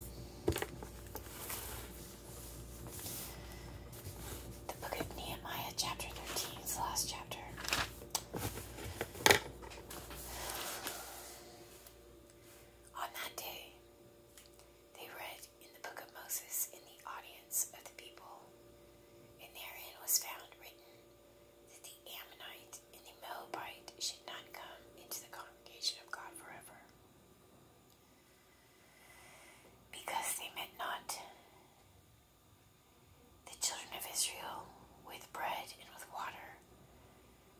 The book of Nehemiah, chapter 13, is the last chapter. On that day, they read in the book of Moses in the audience of the people, and therein was found written that the Ammonite and the Moabite should not come into the congregation of God forever. Because they met not the children of Israel with bread and with water,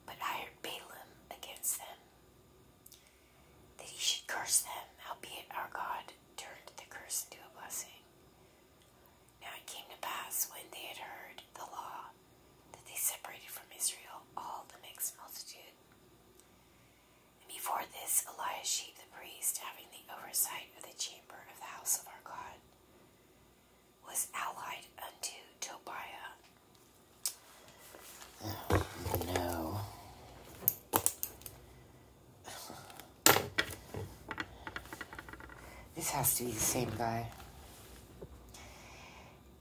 but hired Balaam against them, that he should curse them, howbeit our God turned the curse into a blessing. Now it came to pass when they had heard the law that they separated from Israel all the mixed multitude. And before this, Eliashib the priest, having the oversight of the chamber of the house of our God, was allied unto Tobiah. no. This has to be the same guy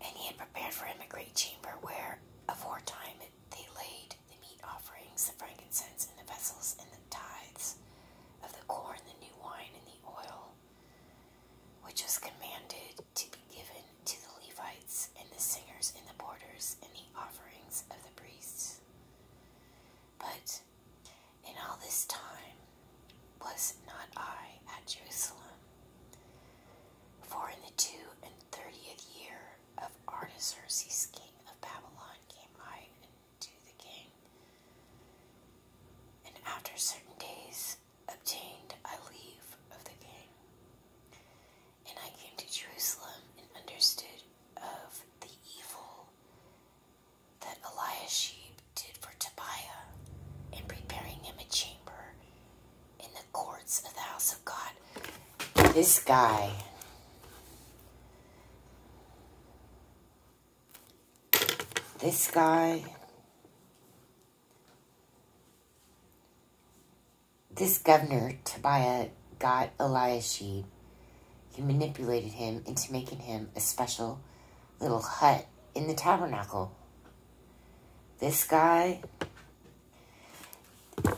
and he had prepared for him a great chamber where aforetime they laid the meat offerings, the frankincense, and the vessels, and the tithes of the corn, the new wine, and the oil, which was commanded to be given to the Levites, and the singers, and the porters, and the offerings of the priests. But in all this time was not I at Jerusalem. For in the two and thirtieth year of Artaxerxes, king of Babylon, came I unto the king, and after certain days obtained I leave of the king. And I came to Jerusalem and understood of the evil that Eliashib did for Tobiah in preparing him a chamber in the courts of the house of God. This guy. This guy. This governor, Tobiah, got Eliashib. He manipulated him into making him a special little hut in the tabernacle this guy,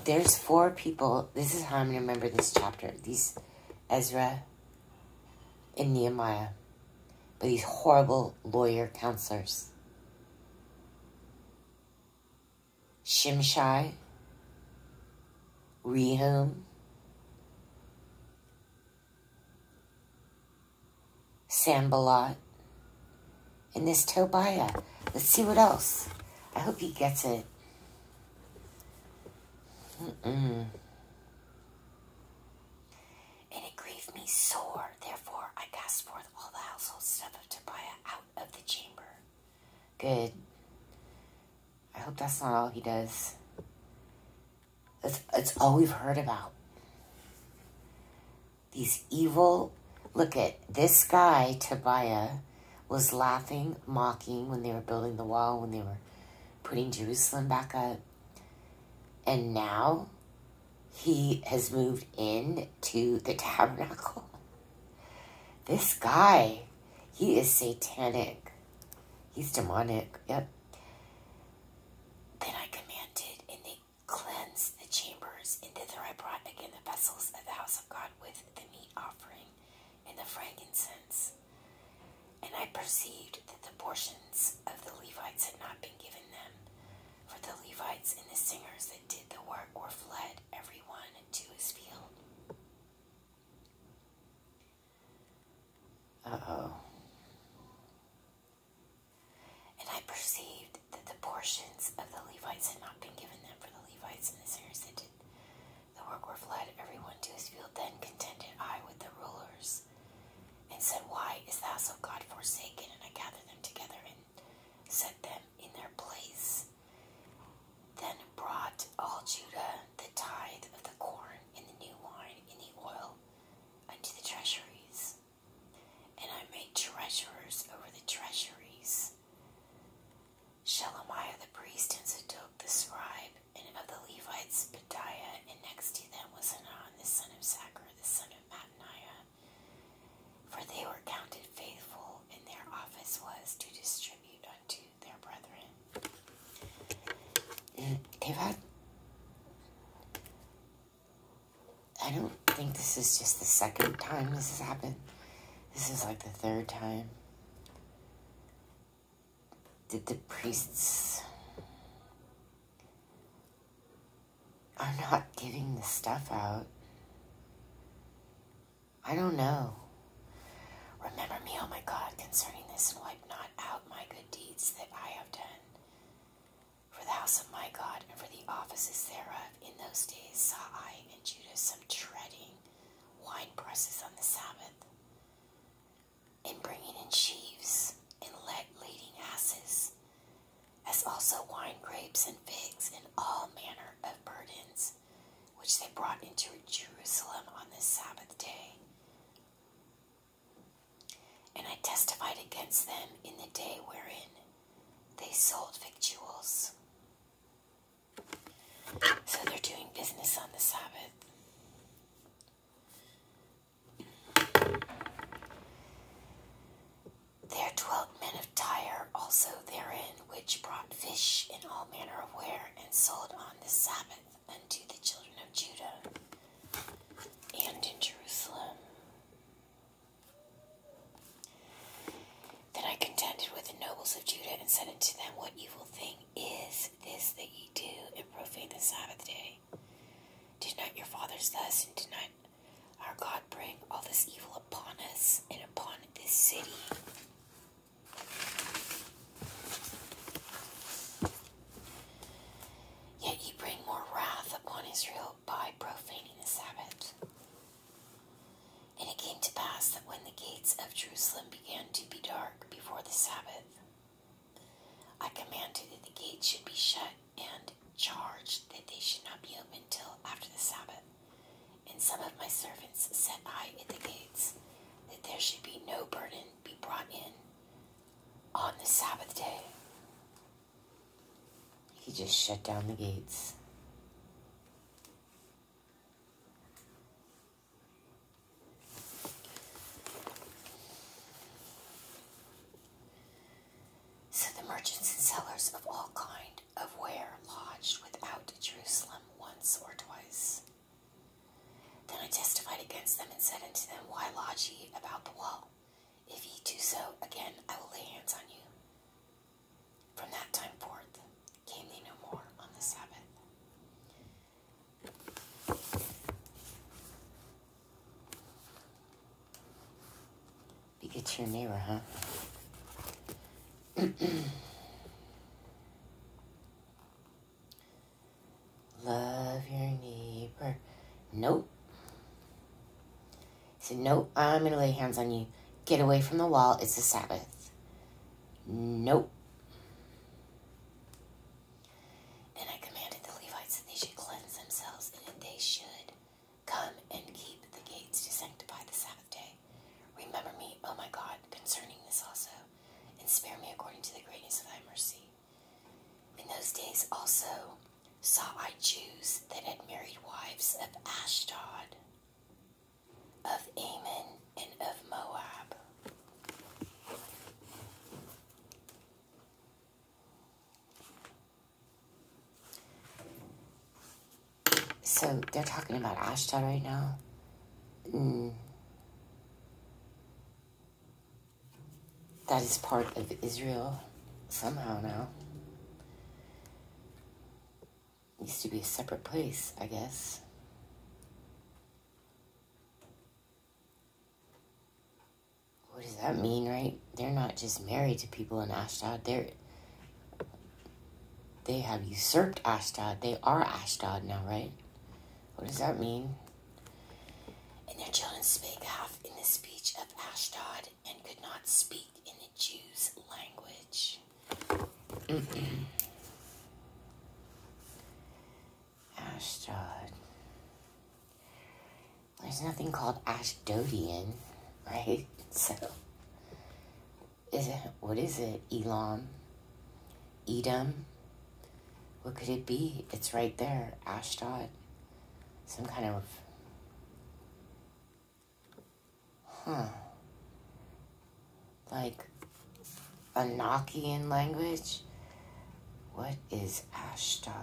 there's four people. This is how I'm going to remember this chapter. These Ezra and Nehemiah. But these horrible lawyer counselors. Shimshai, Rehum, Sambalot, and this Tobiah. Let's see what else. I hope he gets it. And it grieved me sore. Therefore, I cast forth all the household stuff of Tobiah out of the chamber. Good. I hope that's not all he does. That's, that's all we've heard about. These evil, look at this guy, Tobiah, was laughing, mocking when they were building the wall, when they were putting Jerusalem back up. And now he has moved in to the tabernacle. This guy, he is satanic. He's demonic. Yep. Then I commanded, and they Cleanse the chambers and thither I brought again the vessels of the house of God with the meat offering and the frankincense. And I perceived that the portions of the Levites had not been given them, for the Levites and the singers that did the work were fled, every one to his field. Uh oh. And I perceived that the portions of the Levites had not been given them, for the Levites and the Sarahs that did the work were fled, everyone to his field. Then contended I with the rulers, and said, Why is thou so God forsaken? And I gathered them together and set them in their place. Then brought all Judah the tithe of the corn and the new wine and the oil unto the treasuries. And I made treasurers over the treasuries. Shelemiah the priest and Zadok the scribe, and of the Levites Padiah, and next to them was Hanan the son of Zachar the son of Mattaniah. For they were counted faithful, and their office was to distribute unto their brethren. they I don't think this is just the second time this has happened. This is like the third time. Did the priests are not giving the stuff out? I don't know. Remember me, oh my God, concerning this and wipe not out my good deeds that I have done for the house of my God and for the offices thereof, in those days saw I in Judah some treading wine presses on the Sabbath, and bringing in sheaves, and let leading asses, as also wine grapes and figs, and all manner of burdens, which they brought into Jerusalem on the Sabbath day. And I testified against them in the day wherein they sold victuals. So they're doing business on the Sabbath. There dwelt men of Tyre also therein, which brought fish in all manner of ware, and sold on the Sabbath unto the children of Judah and in Jerusalem. Then I contended with the nobles of Judah and said unto them, What evil thing is this that ye do and profane the Sabbath day? Did not your fathers thus, and did not our God bring all this evil upon us and upon this city? Yet you bring more wrath upon Israel by profaning the Sabbath. And it came to pass that when the gates of Jerusalem began to be dark before the Sabbath, I commanded that the gates should be shut and charged that they should not be opened till after the Sabbath. And some of my servants set eye at the gates, that there should be no burden be brought in on the Sabbath day, he just shut down the gates. So the merchants and sellers of all kind of ware lodged without Jerusalem once or twice. Then I testified against them and said unto them, Why lodge ye about the wall? If ye do so again, I will lay hands on you. From that time forth came they no more on the Sabbath. Be your neighbor, Love your neighbor. Nope. He said, Nope, I'm going to lay hands on you. Get away from the wall. It's the Sabbath. Nope. And I commanded the Levites that they should cleanse themselves and that they should come and keep the gates to sanctify the Sabbath day. Remember me, O my God, concerning this also, and spare me according to the greatness of thy mercy. In those days also saw I Jews that had married wives of Ashdod, of Ammon, and of Moab. So they're talking about Ashdod right now. Hmm that is part of Israel somehow now. used to be a separate place, I guess. What does that mean, right? They're not just married to people in Ashdod. They're they have usurped Ashdod. They are Ashdod now, right? What does that mean? And their children spake half in the speech of Ashdod and could not speak in the Jews' language. Ashdod. There's nothing called Ashdodian, right? So, is it, what is it? Elam? Edom? What could it be? It's right there, Ashdod. Some kind of. Huh. Like a Nokian language? What is Ashdod?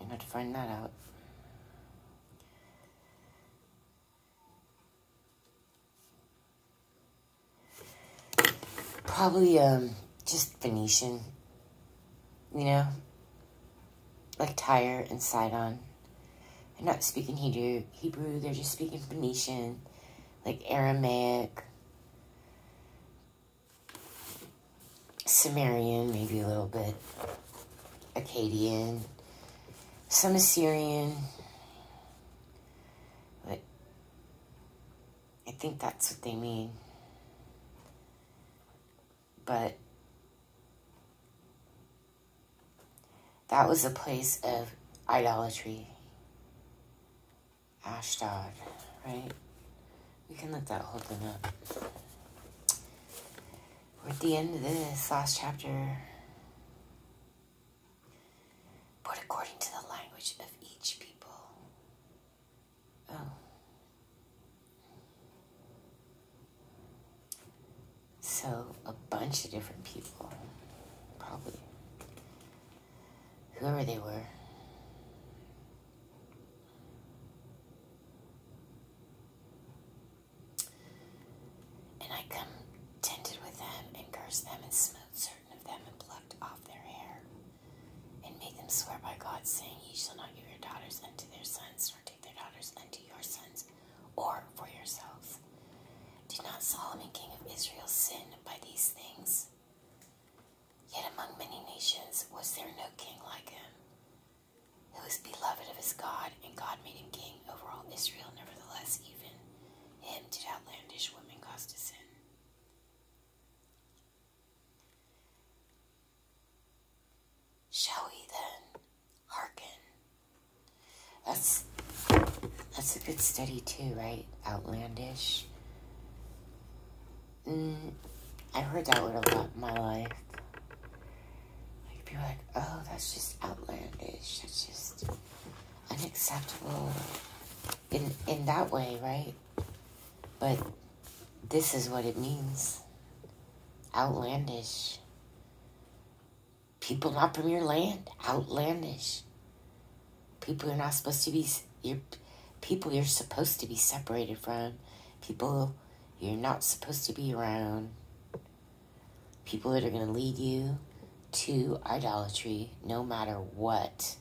You're not to find that out. Probably um just Phoenician, you know, like Tyre and Sidon. They're not speaking Hebrew. Hebrew. They're just speaking Phoenician, like Aramaic, Sumerian, maybe a little bit, Akkadian, some Assyrian. like. I think that's what they mean. But that was a place of idolatry. Ashdod, right? We can let that hold them up. We're at the end of this last chapter. But according to the language of each people, oh. So, a bunch of different people, probably, whoever they were. And I come tented with them and cursed them and smote and plucked off their hair, and made them swear by God, saying, Ye shall not give your daughters unto their sons, nor take their daughters unto your sons, or for yourselves. Did not Solomon king of Israel sin by these things? Yet among many nations was there no king like him, who was beloved of his God, and God made him king over all Israel. Nevertheless, even him did outlandish women cause to sin. Shall we then hearken? That's that's a good study too, right? Outlandish. Mm, I've heard that word a lot in my life. Like be like, oh, that's just outlandish. That's just unacceptable in in that way, right? But this is what it means. Outlandish. People not from your land, outlandish. People you're not supposed to be your people you're supposed to be separated from, people you're not supposed to be around, people that are going to lead you, to idolatry no matter what.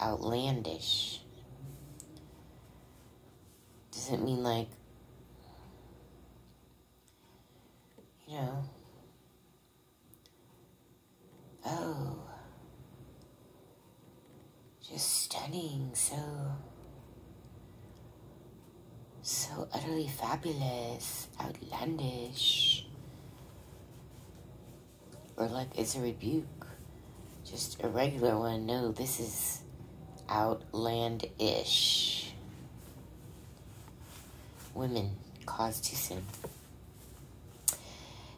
Outlandish. Does it mean like, you know, oh, just stunning, so so utterly fabulous, outlandish, or like it's a rebuke, just a regular one. No, this is outlandish. Women, cause too soon.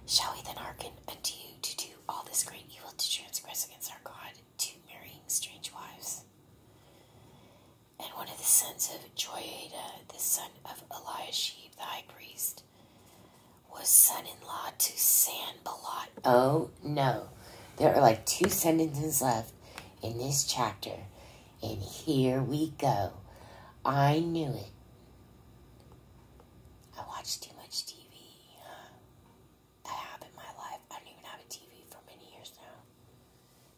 Shall we then hearken unto you to do all this great evil to transgress against our God, to marrying strange wives? And one of the sons of Joiada, the son of Eliashib the high priest, was son in law to Sanballat. Oh no, there are like two sentences left in this chapter, and here we go. I knew it. I watched too much TV. Huh? That in my life. I don't even have a TV for many years now.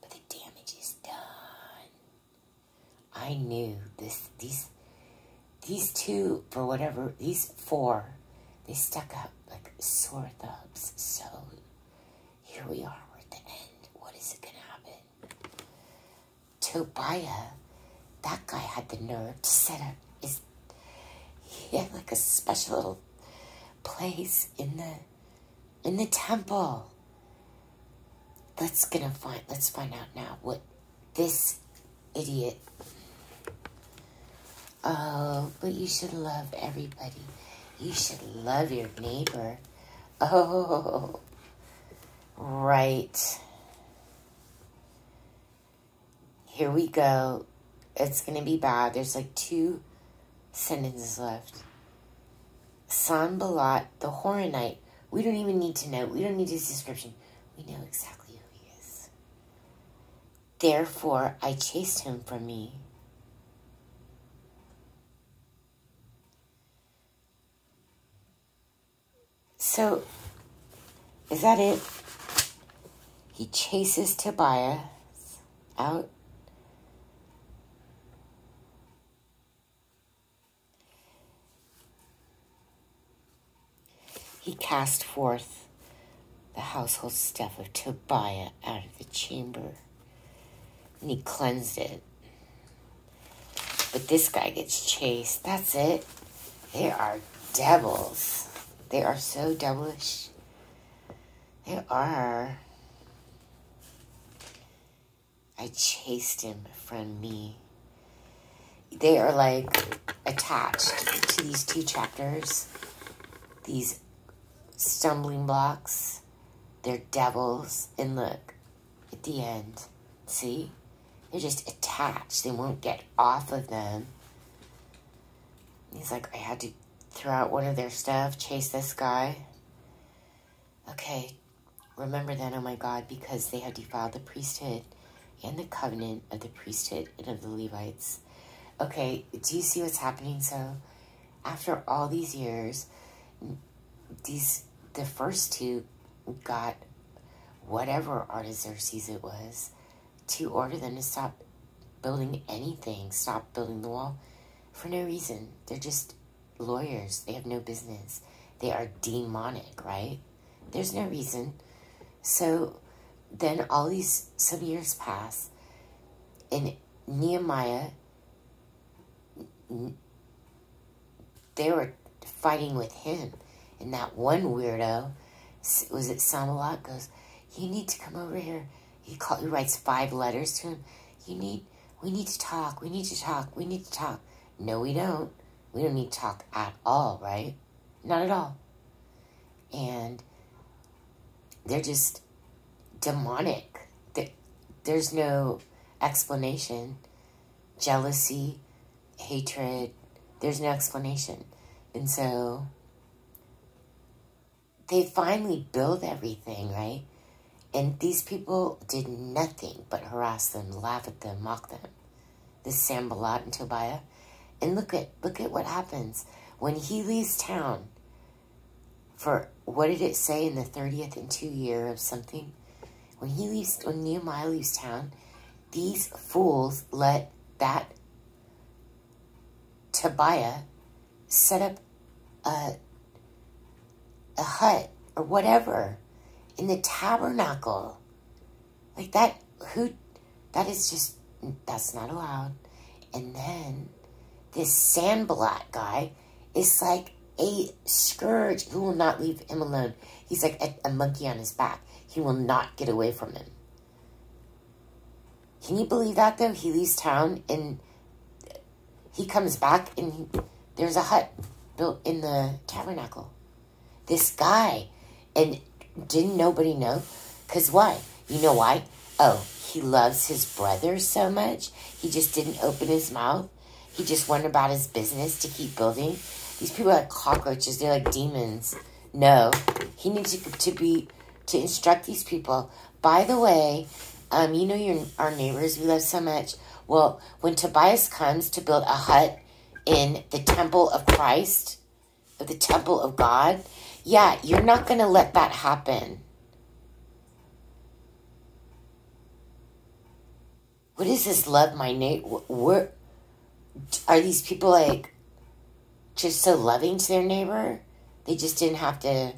But the damage is done. I knew this these these two for whatever these four they stuck up like sore thumbs. So here we are, we're at the end. What is it gonna happen? Tobiah, that guy had the nerve to set up his he had like a special little place in the in the temple. Let's gonna find let's find out now what this idiot. Oh, but you should love everybody. You should love your neighbor. Oh, right. Here we go. It's going to be bad. There's like two sentence left. Sanbalat the Horonite. We don't even need to know. We don't need his description. We know exactly who he is. Therefore, I chased him from me. So, is that it? He chases Tobias out. He cast forth the household stuff of Tobiah out of the chamber, and he cleansed it. But this guy gets chased. That's it. They are devils. They are so devilish. They are. I chased him from me. They are like attached to these two chapters, these stumbling blocks. They're devils. And look, at the end, see? They're just attached. They won't get off of them. He's like, I had to throw out one of their stuff, chase this guy. Okay, remember then, oh my God, because they have defiled the priesthood and the covenant of the priesthood and of the Levites. Okay, do you see what's happening? So, after all these years, these the first two got whatever Artaxerxes it was to order them to stop building anything, stop building the wall for no reason. They're just lawyers. They have no business. They are demonic, right? There's no reason. So then all these, some years pass, and Nehemiah, they were fighting with him. And that one weirdo, was it Samalot, goes, you need to come over here. He call, he writes five letters to him. You need, we need to talk. We need to talk. We need to talk. No, we don't. We don't need to talk at all, right? Not at all. And they're just demonic. They, there's no explanation. Jealousy, hatred, there's no explanation. And so they finally build everything, right? And these people did nothing but harass them, laugh at them, mock them. This Sambalot and Tobiah. And look at look at what happens. When he leaves town for what did it say in the thirtieth and two year of something? When he leaves when Nehemiah leaves town, these fools let that Tabia set up a, a hut or whatever in the tabernacle. Like that, who, that is just, that's not allowed. And then this sandblot guy is like a scourge who will not leave him alone. He's like a monkey on his back. He will not get away from him. Can you believe that though? He leaves town and he comes back and there's a hut built in the tabernacle. This guy. And didn't nobody know? Because why? You know why? Oh, he loves his brother so much. He just didn't open his mouth. He just went about his business to keep building. These people are like cockroaches. They're like demons. No, he needs to, to be to instruct these people by the way, um, you know your our neighbors we love so much. Well, when Tobias comes to build a hut in the temple of Christ, of the temple of God, yeah, you're not going to let that happen. What is this love, my Nate? What, what are these people like? just so loving to their neighbor. They just didn't have to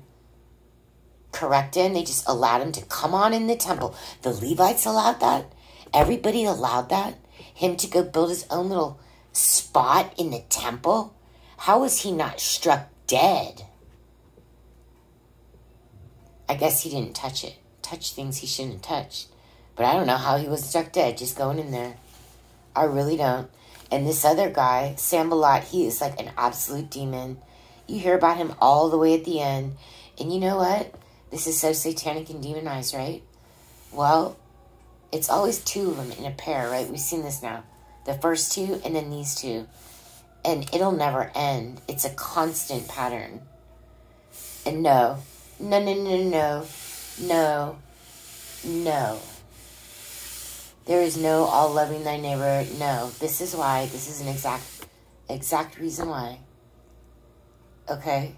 correct him. They just allowed him to come on in the temple. The Levites allowed that. Everybody allowed that. Him to go build his own little spot in the temple. How was he not struck dead? I guess he didn't touch it. Touch things he shouldn't have touched. But I don't know how he was struck dead just going in there. I really don't. And this other guy, Sam Balot, he is like an absolute demon. You hear about him all the way at the end. And you know what? This is so satanic and demonized, right? Well, it's always two of them in a pair, right? We've seen this now. The first two and then these two. And it'll never end. It's a constant pattern. And no, no, no, no, no, no, no. There is no all loving thy neighbor. No, this is why. This is an exact, exact reason why. Okay?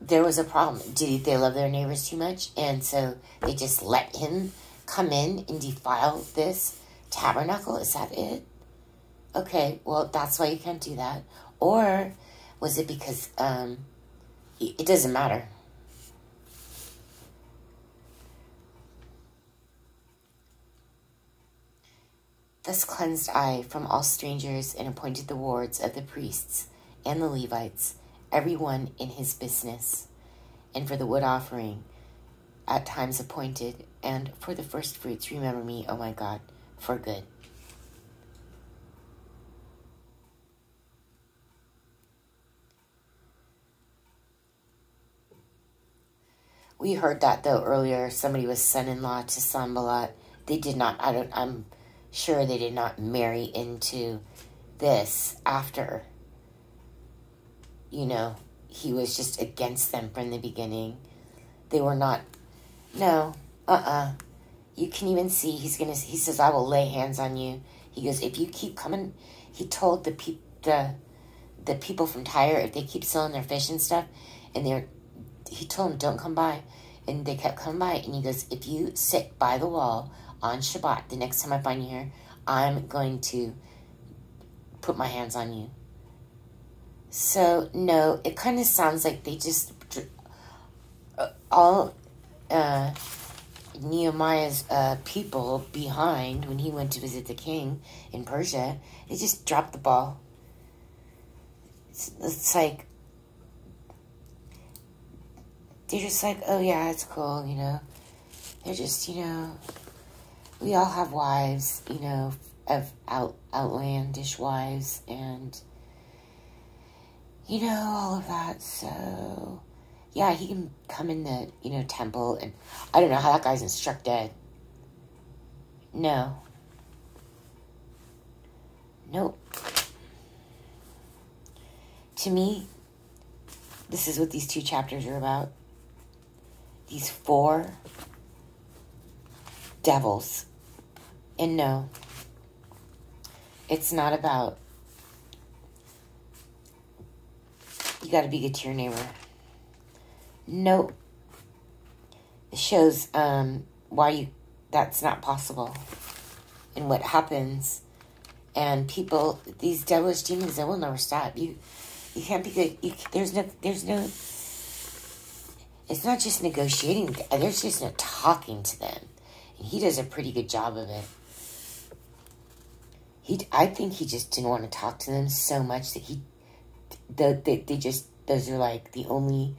There was a problem. Did they love their neighbors too much? And so they just let him come in and defile this tabernacle? Is that it? Okay, well, that's why you can't do that. Or was it because um, it doesn't matter? Thus cleansed I from all strangers and appointed the wards of the priests and the Levites, every one in his business, and for the wood offering at times appointed, and for the first fruits remember me, O my God, for good. We heard that though earlier. Somebody was son-in-law to Sambalat. They did not. I don't. I'm sure they did not marry into this after. You know, he was just against them from the beginning. They were not. No. Uh. Uh-uh. uh You can even see he's gonna. He says, "I will lay hands on you." He goes, if you keep coming, he told the pe- the the people from Tyre if they keep selling their fish and stuff, and they're he told them don't come by, and they kept coming by, and he goes, if you sit by the wall on Shabbat, the next time I find you here, I'm going to put my hands on you. So no, it kind of sounds like they just uh, all uh, Nehemiah's uh, people behind when he went to visit the king in Persia. They just dropped the ball. It's, it's like, they're just like, oh yeah, it's cool, you know. They're just, you know, we all have wives, you know, of out, outlandish wives and, you know, all of that, so yeah, he can come in the, you know, temple and I don't know how that guy's instructed. No. Nope. To me, this is what these two chapters are about. These four devils. And no, it's not about you got to be good to your neighbor. Nope. It shows um, why you that's not possible and what happens. And people, these devilish demons, they will never stop. You, you can't be good. You, there's no, there's no. It's not just negotiating. There's just no talking to them. And he does a pretty good job of it. He, I think he just didn't want to talk to them so much that he, the, they, they just, those are like the only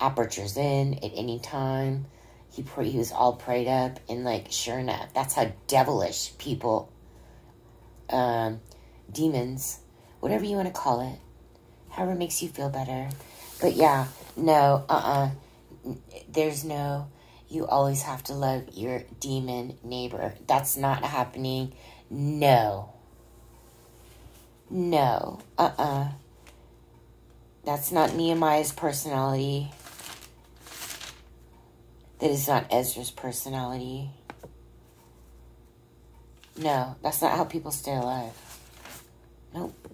apertures in at any time. He, he was all prayed up and like, sure enough, that's how devilish people, um, demons, whatever you want to call it, however makes you feel better. But yeah, no, uh-uh there's no you always have to love your demon neighbor. That's not happening. No. No. Uh-uh. That's not Nehemiah's personality. That is not Ezra's personality. No, that's not how people stay alive. Nope.